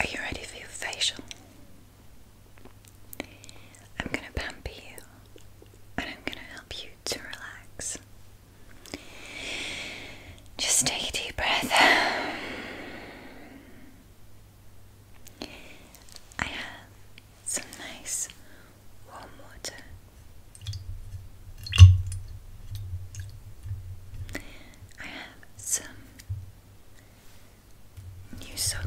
Are you ready for your facial? I'm going to pamper you and I'm going to help you to relax. Just take a deep breath. I have some nice warm water. I have some new soap,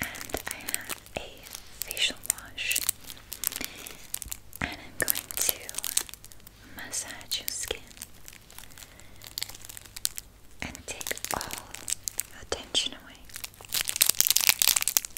and I have a facial wash, and I'm going to massage your skin and take all the tension away.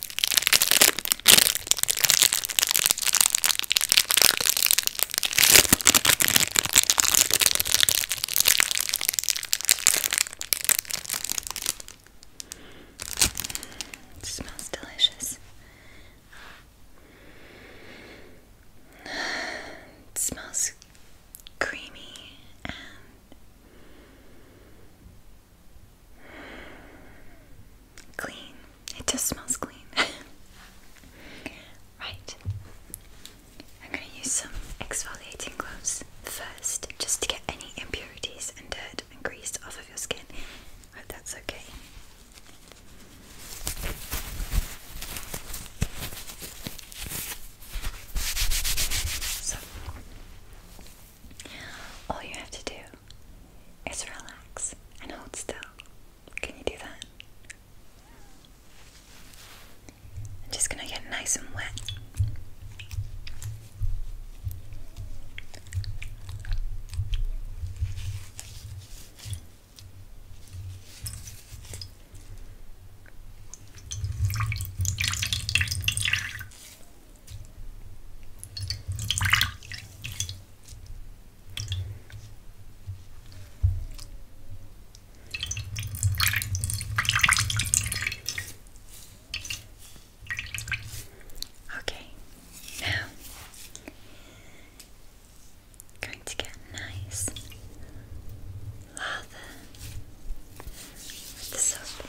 It smells delicious. It smells creamy and Clean. It just smells clean. right. I'm going to use some exfoliating gloves first just to get any impurities and dirt and grease off of your skin. hope that's okay. So, all you have to do is relax and hold still. Can you do that? I'm just going to get nice and wet. Okay, now going to get nice lather with the soap.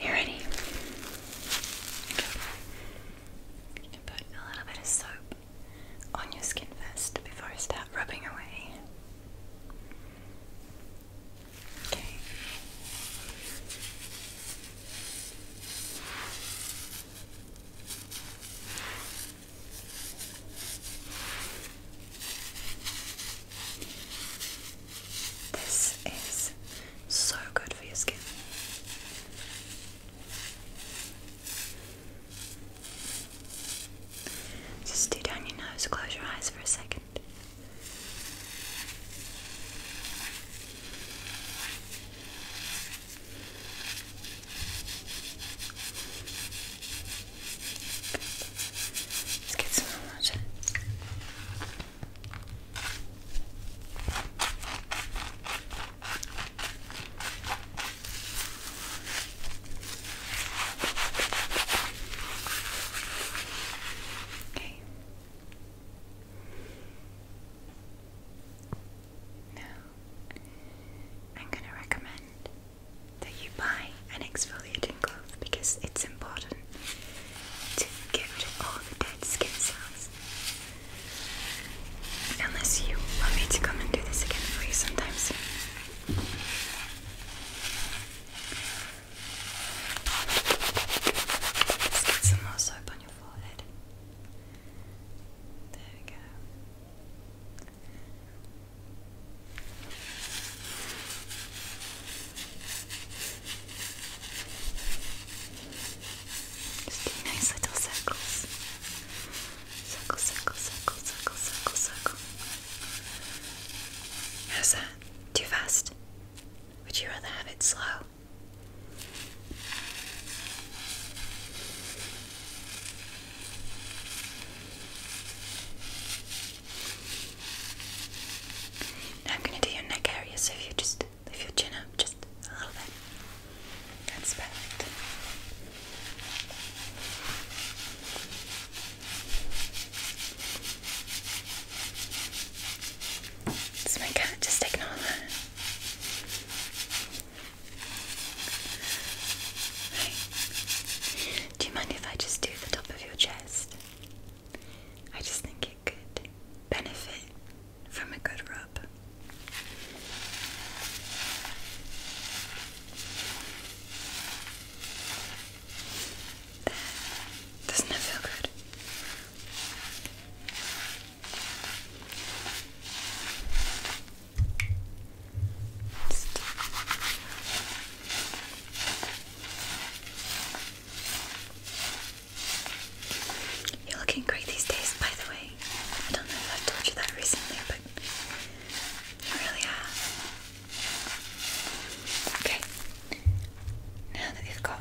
You ready? put a little bit of soap on your skin first before I start rubbing away. Okay. This is so good for your skin. Just do down your nose, close your eyes for a second. Let's get some more water. Okay. Now, I'm going to recommend that you buy an exfoliating glove because it's important to get rid of all the dead skin cells. Unless you want me to come and do this again for you sometimes. Let's get some more soap on your forehead. There we go. Just do nice little circles. Circle, circle, circle, circle, circle, circle. How's that? Too fast? Would you rather have it slow? I'm gonna do your neck area, so if you just lift your chin up just a little bit. That's perfect. It's my cat just ignore Do you mind if I just do the top of your chest? I just think it could benefit from a good rub. There. Doesn't it feel good? You're looking great these days, by the way. I don't know if i told you that recently, but really are. Okay, now that you've got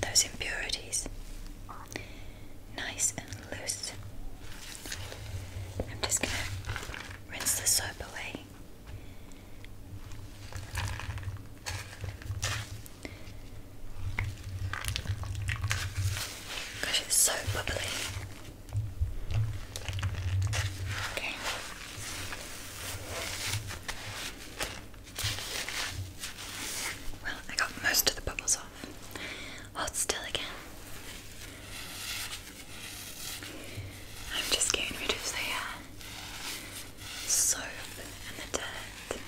those impurities. Nice and loose. I'm just going to rinse the soap away. Gosh, it's so bubbly. Okay. Well, I got most of the bubbles off. Hold still again. I'm just getting rid of the uh, soap and the dirt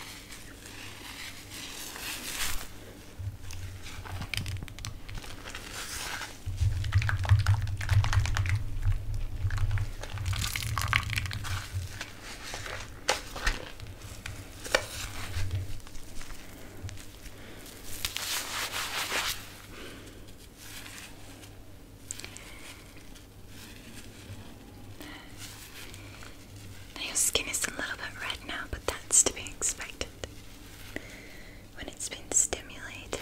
your skin is a little bit red now, but that's to be expected when it's been stimulated.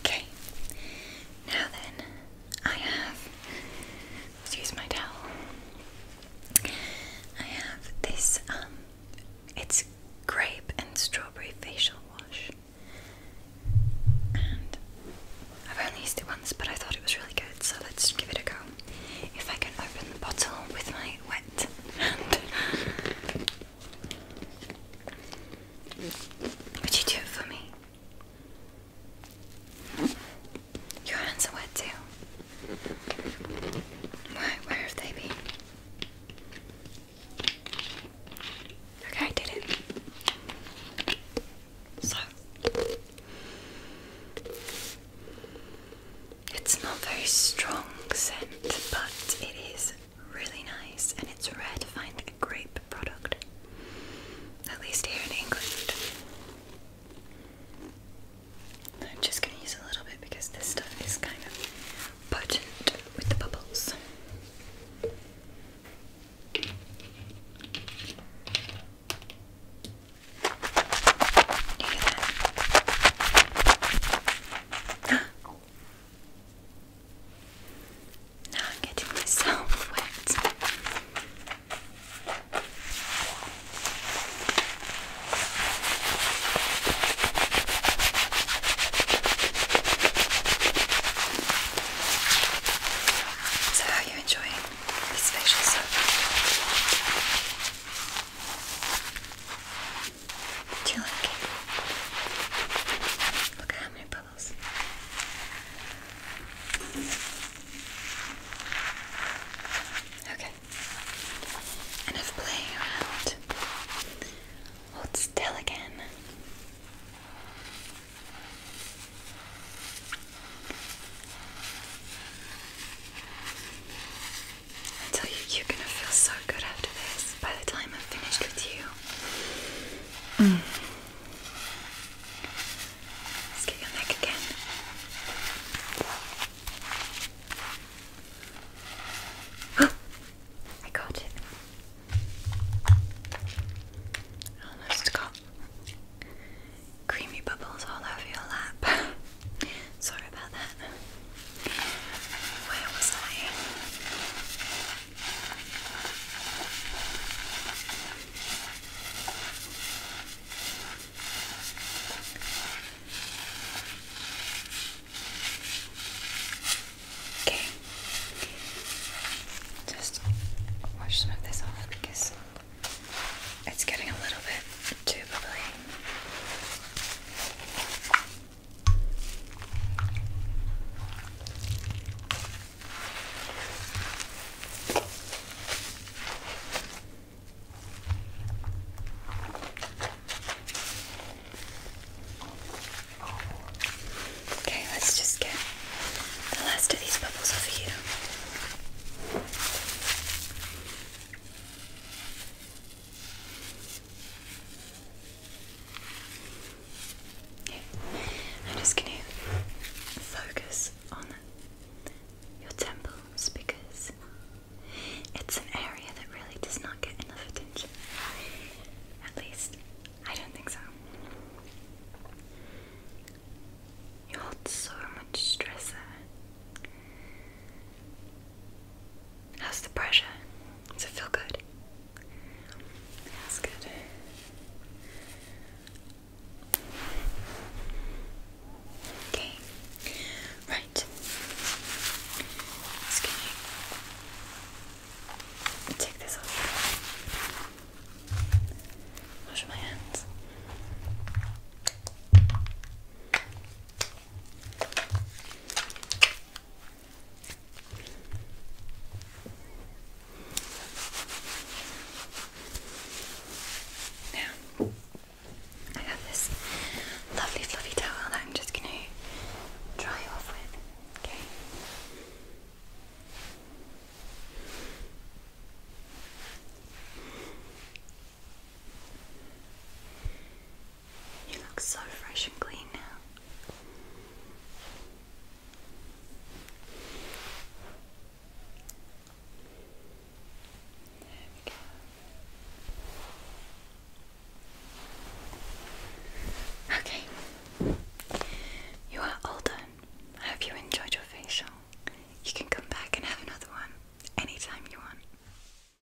Okay. Now then, I have. Let's use my towel. I have this. Um, it's grape and strawberry facial wash, and I've only used it once, but I thought it was really good, so let's give it a go. If I can open the bottle with my wet hand. Would you do it for me? Your hands are wet too. Why, where have they been? Okay, I did it. So, it's not very strong scent, but it is really nice, and it's rare to find a grape product, at least here in England. I'm just going to use a little bit because this stuff is kind of potent with the bubbles. Now I'm getting myself wet. So, how are you enjoying this facial soap? Do you like it? Look at how many bubbles. Okay. Enough playing around. Hold still again. Until you, you're gonna feel so good after this by the time I've finished with you. Mm. Let's get your neck again. I got it. Almost got creamy bubbles all over your lap. Sorry about that. Where was I? Okay. Just wash some of this off because it's getting a little bit too bubbly. Okay, let's just get the last of these bubbles over here. I'm just going to focus on your temples because it's an area that really does not get enough attention. At least, I don't think so. You hold so much stress there. How's the pressure? Does it feel good? That's good. Okay. Right. Just take this off. Wash my hands. Now, I have this lovely fluffy towel that I'm just going to dry off with. Okay. You look so fresh and clean now. There we go. Okay, you are all done. I hope you enjoyed your facial. You can come back and have another one anytime you want.